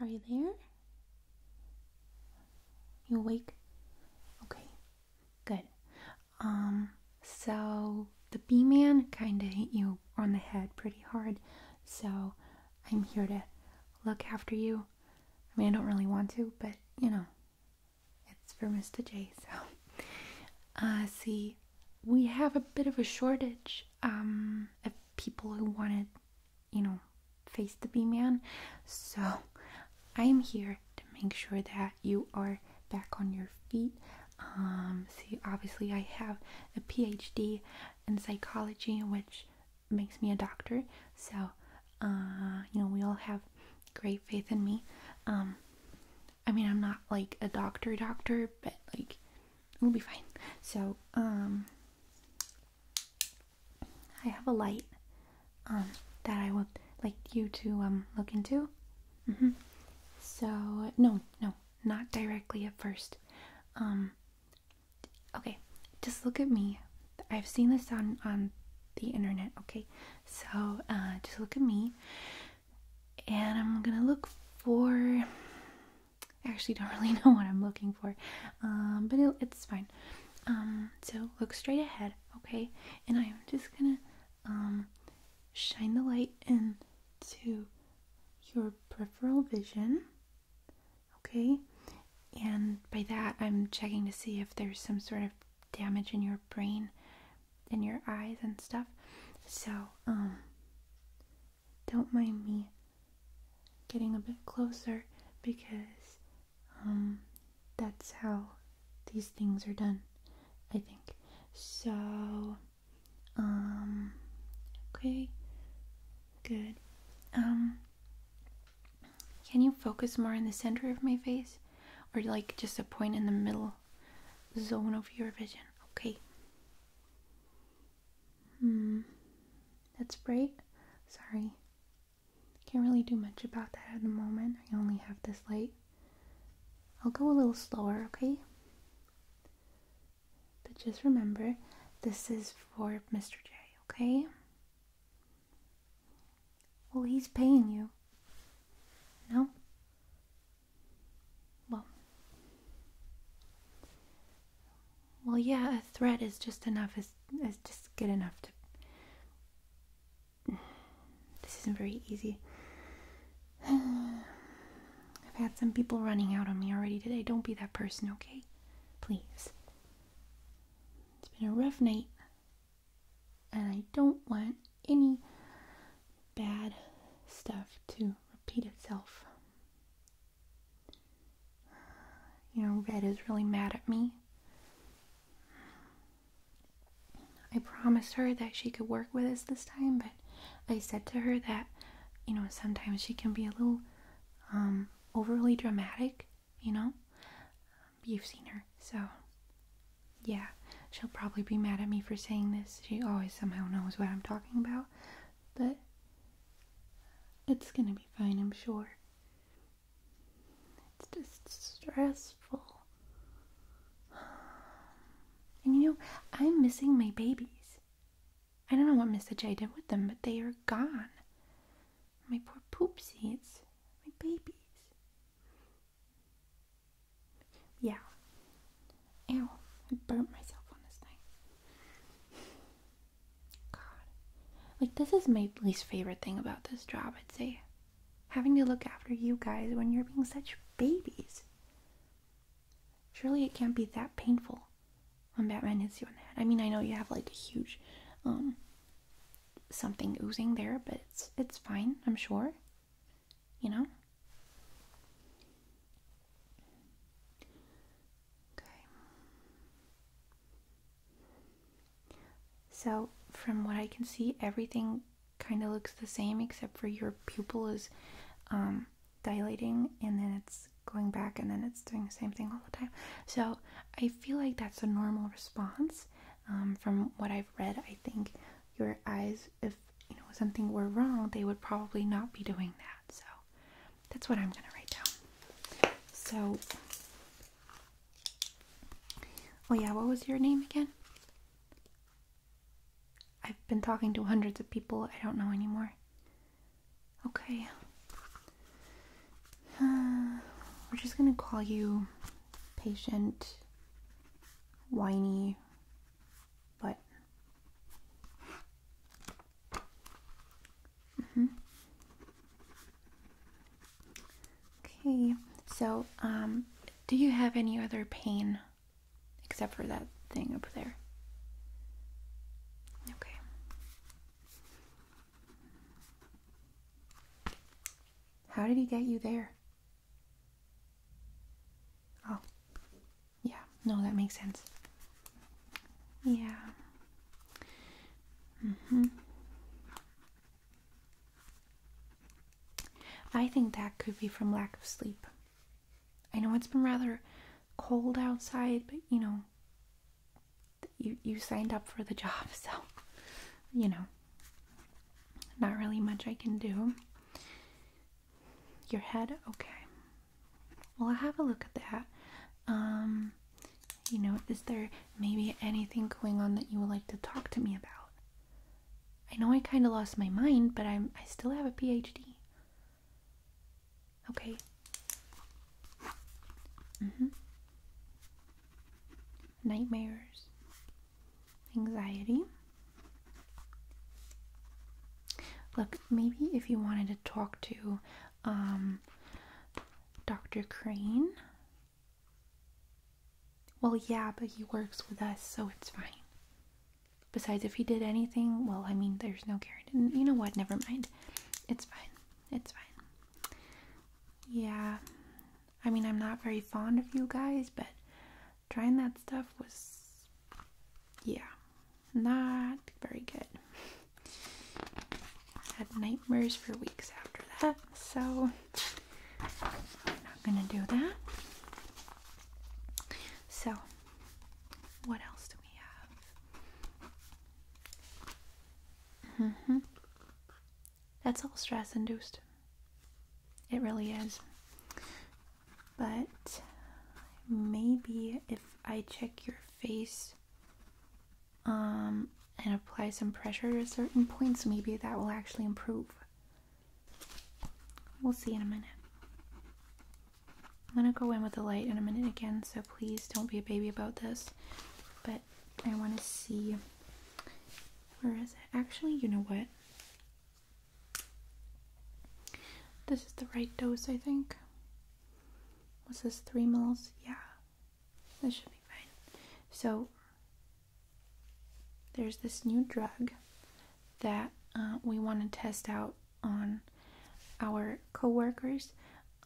Are you there? You awake? Okay, good. Um, so the bee man kind of hit you on the head pretty hard, so I'm here to look after you. I mean, I don't really want to, but you know, it's for Mr. J, so. Uh, see, we have a bit of a shortage um, of people who wanted you know, face the bee man. So I am here to make sure that you are back on your feet. Um, see, obviously, I have a PhD in psychology, which makes me a doctor. So, uh, you know, we all have great faith in me. Um, I mean, I'm not like a doctor, doctor, but like we'll be fine. So, um, I have a light, um, that I would like you to, um, look into. Mm -hmm. So, no, no, not directly at first. Um, okay, just look at me. I've seen this on, on the internet, okay? So, uh, just look at me. And I'm gonna look for I actually don't really know what I'm looking for, um, but it's fine. Um, so look straight ahead, okay? And I'm just gonna um, shine the light into your peripheral vision, okay? And by that, I'm checking to see if there's some sort of damage in your brain, in your eyes and stuff. So, um, don't mind me getting a bit closer because um, that's how these things are done, I think. So, um, okay, good. Um, can you focus more in the center of my face or like just a point in the middle zone of your vision? Okay. Hmm. That's bright. Sorry. Can't really do much about that at the moment. I only have this light. I'll go a little slower, okay? But just remember, this is for Mr. J, okay? Well, he's paying you. No? Well, well, yeah, a threat is just enough. Is is just good enough to. This isn't very easy. I've had some people running out on me already today. Don't be that person, okay? Please. It's been a rough night, and I don't want any bad stuff to repeat itself. You know, Red is really mad at me. I promised her that she could work with us this time, but I said to her that, you know, sometimes she can be a little um, overly dramatic, you know? You've seen her, so yeah, she'll probably be mad at me for saying this. She always somehow knows what I'm talking about, but it's gonna be fine, I'm sure. It's just stressful. And you know, I'm missing my babies. I don't know what Mr. J did with them, but they are gone. My poor poopsies. My babies. Yeah. Ew, I burnt myself on this thing. God. Like, this is my least favorite thing about this job, I'd say. Having to look after you guys when you're being such babies. Surely it can't be that painful when Batman hits you on the head. I mean, I know you have like a huge, um, something oozing there, but it's it's fine, I'm sure. You know? Okay. So, from what I can see, everything kind of looks the same except for your pupil is um, dilating and then it's going back and then it's doing the same thing all the time. So, I feel like that's a normal response. Um, from what I've read, I think your eyes, if you know something were wrong, they would probably not be doing that. So, that's what I'm going to write down. So, oh yeah, what was your name again? I've been talking to hundreds of people, I don't know anymore. Okay. Uh, we're just going to call you patient, whiny, but Mm-hmm. Okay, so um, do you have any other pain except for that thing up there? Okay. How did he get you there? Oh, yeah, no, that makes sense. Yeah. Mm-hmm. I think that could be from lack of sleep. I know it's been rather cold outside, but you know, you you signed up for the job, so you know, not really much I can do. Your head? Okay. Well, i have a look at that. Um, you know, is there maybe anything going on that you would like to talk to me about? I know I kind of lost my mind, but I'm I still have a PhD. Okay. Mm-hmm. Nightmares. Anxiety. Look, maybe if you wanted to talk to um, Dr. Crane. Well, yeah, but he works with us, so it's fine. Besides, if he did anything, well, I mean, there's no guarantee. You know what? Never mind. It's fine. It's fine. Yeah. I mean, I'm not very fond of you guys, but trying that stuff was. Yeah. Not very good. I had nightmares for weeks after that, so we're not gonna do that. So, what else do we have? Mm-hmm. That's all stress induced. It really is but maybe if I check your face um, and apply some pressure to certain points, maybe that will actually improve. We'll see in a minute. I'm gonna go in with the light in a minute again, so please don't be a baby about this. But I wanna see, where is it? Actually, you know what? This is the right dose, I think. Was this, 3 mils? Yeah, this should be fine. So, there's this new drug that uh, we want to test out on our coworkers,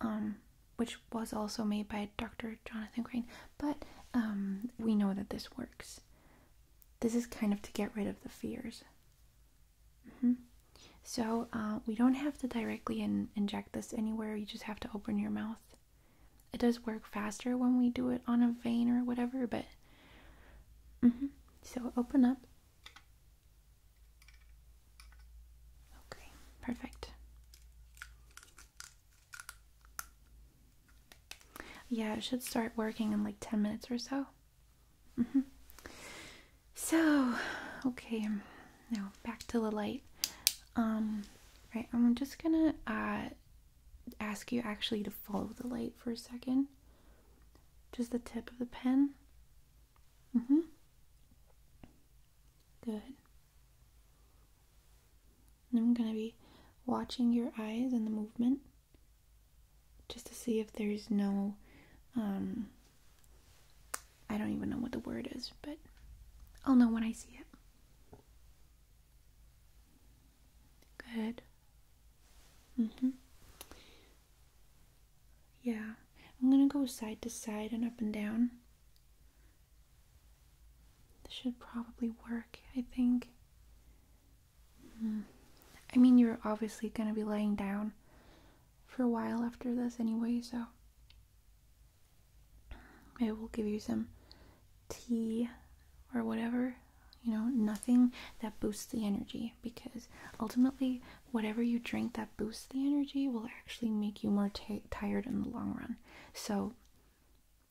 um, which was also made by Dr. Jonathan Crane, but um, we know that this works. This is kind of to get rid of the fears Mm-hmm. So uh, we don't have to directly inject this anywhere. You just have to open your mouth. It does work faster when we do it on a vein or whatever, but. Mm-hmm. So open up. Okay, perfect. Yeah, it should start working in like 10 minutes or so. Mm-hmm. So, okay, now back to the light. Um, right, I'm just gonna uh, ask you actually to follow the light for a second. Just the tip of the pen. Mm hmm. Good. I'm gonna be watching your eyes and the movement just to see if there's no um, I don't even know what the word is, but I'll know when I see it. Good. Mhm. Yeah. I'm going to go side to side and up and down. This should probably work, I think. Mm-hmm. I mean, you're obviously going to be laying down, for a while after this anyway, so it will give you some tea or whatever. You know, nothing that boosts the energy because ultimately, whatever you drink that boosts the energy will actually make you more tired in the long run. So,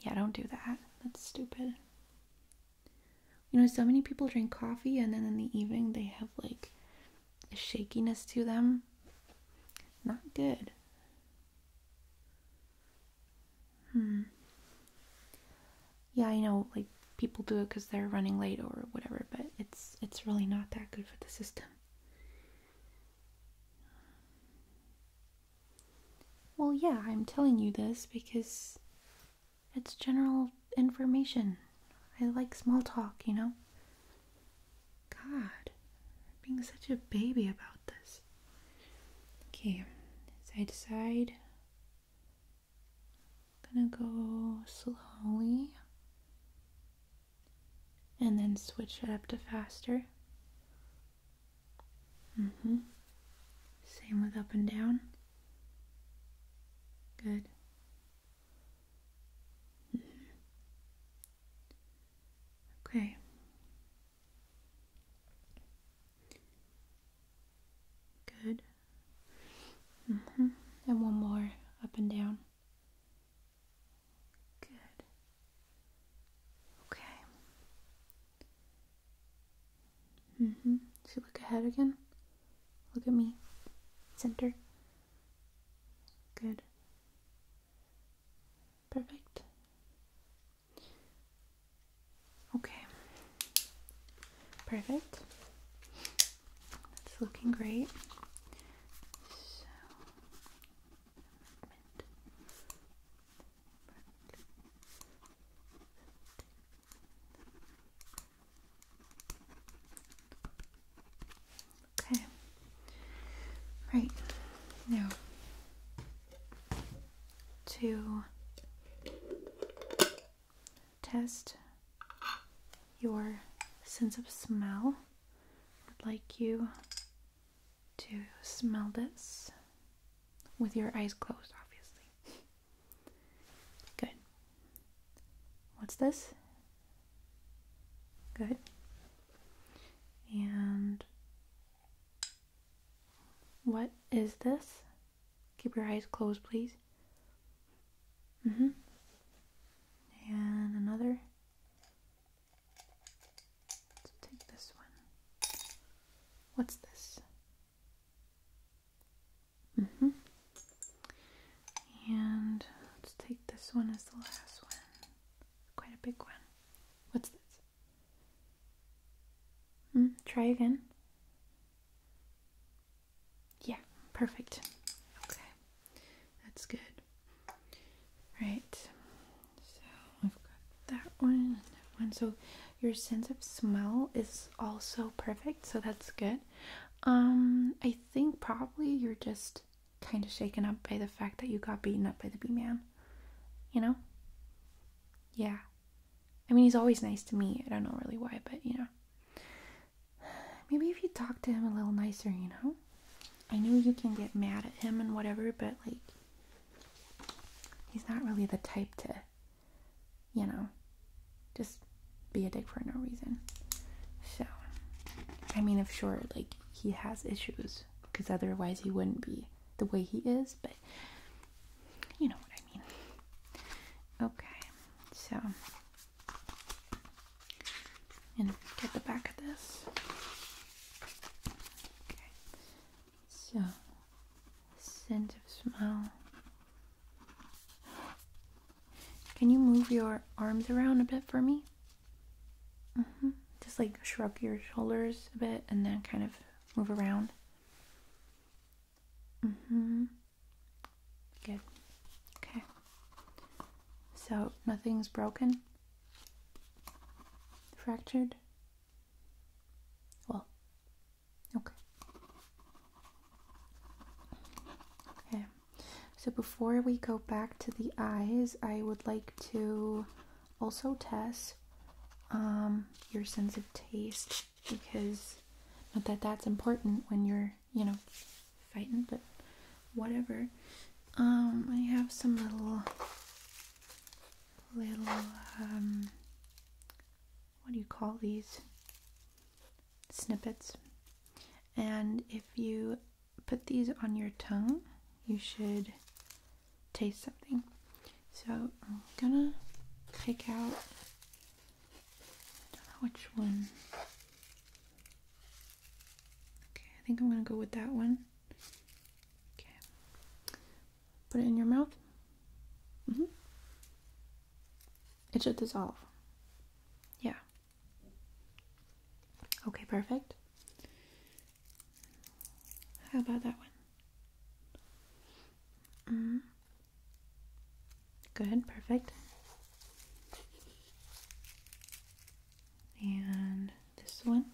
yeah, don't do that. That's stupid. You know, so many people drink coffee and then in the evening they have like a shakiness to them. Not good. Hmm. Yeah, I know like people do it cuz they're running late or whatever, but it's it's really not that good for the system. Well, yeah, I'm telling you this because it's general information. I like small talk, you know? God, being such a baby about this. Okay, side to side. gonna go slowly and then switch it up to faster. Mm hmm. Same with up and down. Good. Okay. Good. -hmm. And one more up and down. Good. Okay. -hmm. Should we look ahead again? Look at me. Center. Good. Perfect. Okay. Perfect. It's looking great. So, Okay. Right. Now to test your sense of smell, I'd like you to smell this with your eyes closed, obviously. Good. What's this? Good. And what is this? Keep your eyes closed, please. Mm-hmm. And another. Let's take this one. What's this? Mm -hmm. And let's take this one as the last one. Quite a big one. What's this? Mm, try again. Yeah, perfect. Okay, that's good. Right. So I've got that one that one. So your sense of smell is also perfect, so that's good. Um, I think probably you're just kind of shaken up by the fact that you got beaten up by the bee man. You know? Yeah. I mean, he's always nice to me. I don't know really why, but you know. Maybe if you talk to him a little nicer, you know? I know you can get mad at him and whatever, but like, he's not really the type to you know, just be a dick for no reason. So, I mean, of sure, like, he has issues because otherwise he wouldn't be the way he is, but you know what I mean. Okay, so, and get the back of this. Okay, so, scent of smell. Can you move your arms around a bit for me? Mm-hmm. Just like shrug your shoulders a bit and then kind of move around. hmm Good. Okay. So nothing's broken? Fractured? Well, Okay. Okay. So before we go back to the eyes, I would like to also test um, your sense of taste because not that that's important when you're, you know, fighting, but whatever. Um, I have some little little um, what do you call these snippets and if you put these on your tongue you should taste something so I'm gonna pick out which one okay I think I'm gonna go with that one okay put it in your mouth mm-hmm. It should dissolve. Yeah. Okay, perfect. How about that one? Mm-hmm. Good, perfect. And this one.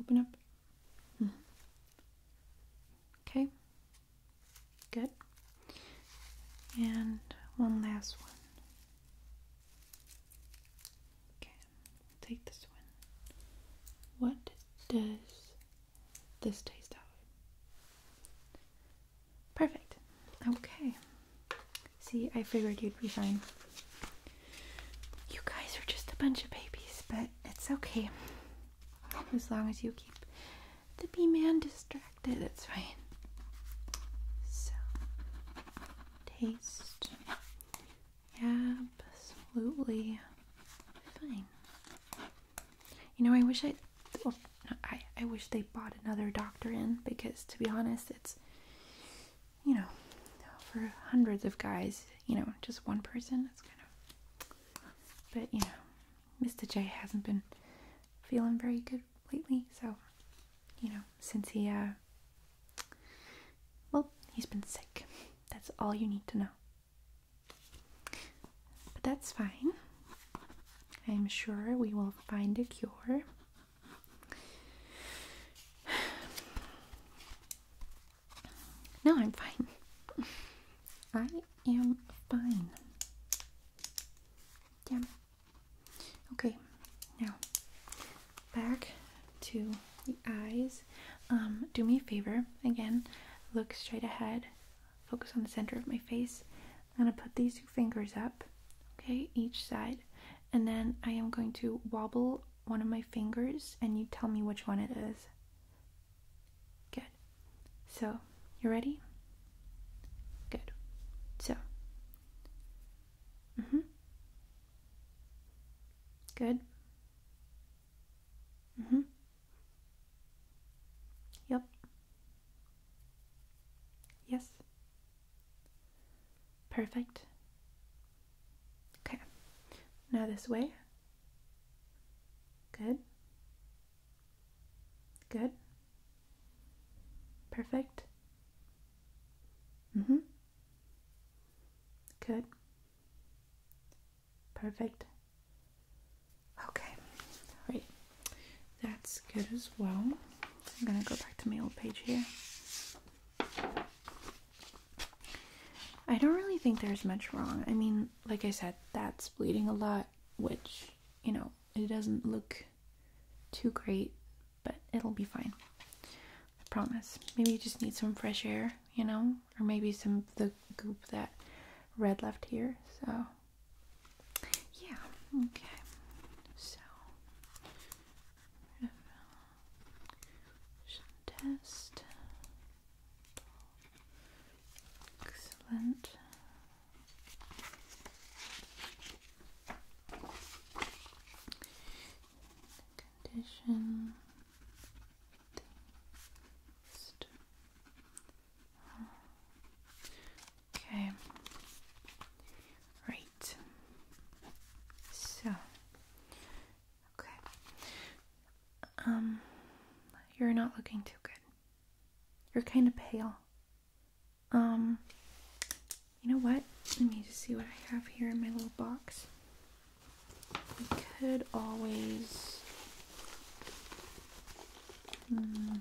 Open up. Mm-hmm. Okay, Good. And one last one. Okay, take this one. What does this taste of? Perfect. Okay. See, I figured you'd be fine. You guys are just a bunch of babies, but it's okay. As long as you keep the bee man distracted, it's fine. So, taste absolutely fine. You know, I wish I, well, I, I wish they bought another doctor in because, to be honest, it's, you know, for hundreds of guys, you know, just one person, That's kind of, but you know, Mr. J hasn't been feeling very good lately, so you know, since he uh well, he's been sick. That's all you need to know. But that's fine. I'm sure we will find a cure. No, I'm fine. I i am fine. Damn. Okay, now back to the eyes. Um, do me a favor again. Look straight ahead. Focus on the center of my face. I'm gonna put these two fingers up, okay, each side, and then I am going to wobble one of my fingers, and you tell me which one it is. Good. So, you ready? Good. So. Mhm. Good. Mhm. Yep. Yes. Perfect. Okay. Now this way. Good. Good. Perfect. Mhm. Mm Good. Perfect. Okay. Right. That's good as well. I'm going to go back to my old page here. I don't really think there's much wrong. I mean, like I said, that's bleeding a lot which, you know, it doesn't look too great, but it'll be fine. I promise. Maybe you just need some fresh air, you know, or maybe some the goop that red left here. So, yeah, okay. So, test. Excellent. Condition Okay. Right. So okay. Um you're not looking too good. You're kind of pale. Um, you know what? Let me just see what I have here in my little box. We could always. Hmm,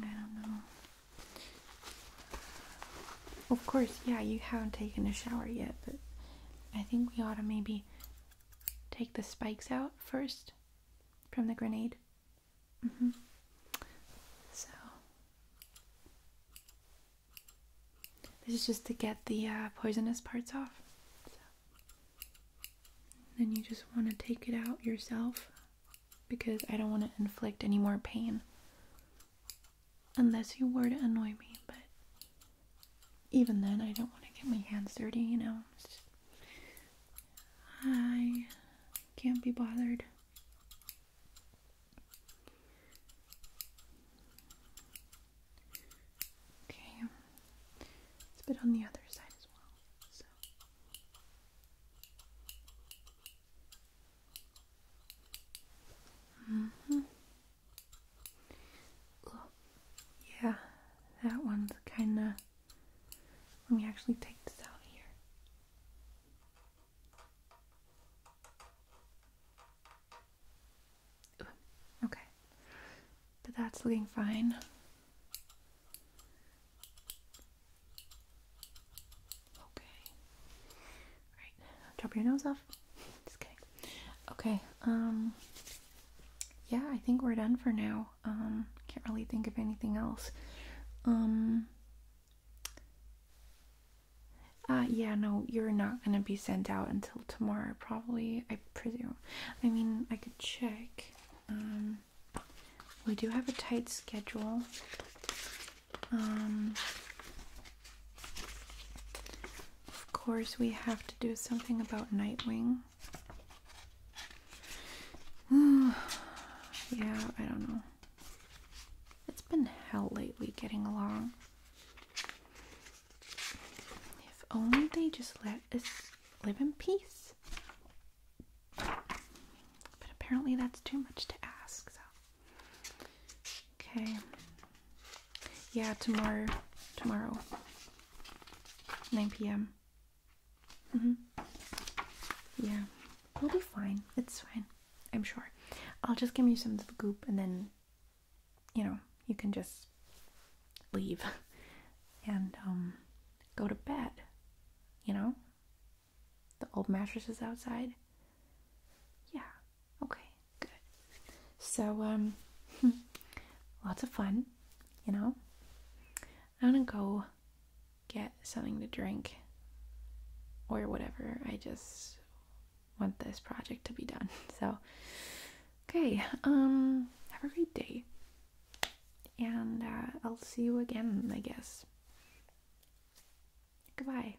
I don't know. Of course, yeah, you haven't taken a shower yet, but I think we ought to maybe take the spikes out first from the grenade. Mm-hmm. So this is just to get the uh, poisonous parts off. Then you just want to take it out yourself because I don't want to inflict any more pain unless you were to annoy me, but even then, I don't want to get my hands dirty, you know. I can't be bothered. Okay, it's a bit on the other side as well. So. -hmm yeah, that one's kind of. Let me actually take this out here. okay, but that's looking fine. Okay. All right, drop your nose off. Just Okay. Um, yeah, I think we're done for now. Um, can't really think of anything else. Um, uh, yeah, no, you're not gonna be sent out until tomorrow, probably. I presume. I mean, I could check. we do have a tight schedule. Of course, we have to do something about Nightwing. yeah, I don't know. It's been hell lately getting along. If only they just let us live in peace. But apparently that's too much to ask, so. Okay. Yeah, tomorrow. Tomorrow. 9 p.m. Mm -hmm. Yeah, we'll be fine. It's fine. I'm sure. I'll just give you some of the goop and then, you know, you can just leave and um, go to bed. You know? The old mattress is outside. Yeah, okay good. So, um, lots of fun, you know. I'm gonna go get something to drink or whatever. I just want this project to be done. So, okay, um, have a great day. And uh, I'll see you again, I guess. Goodbye.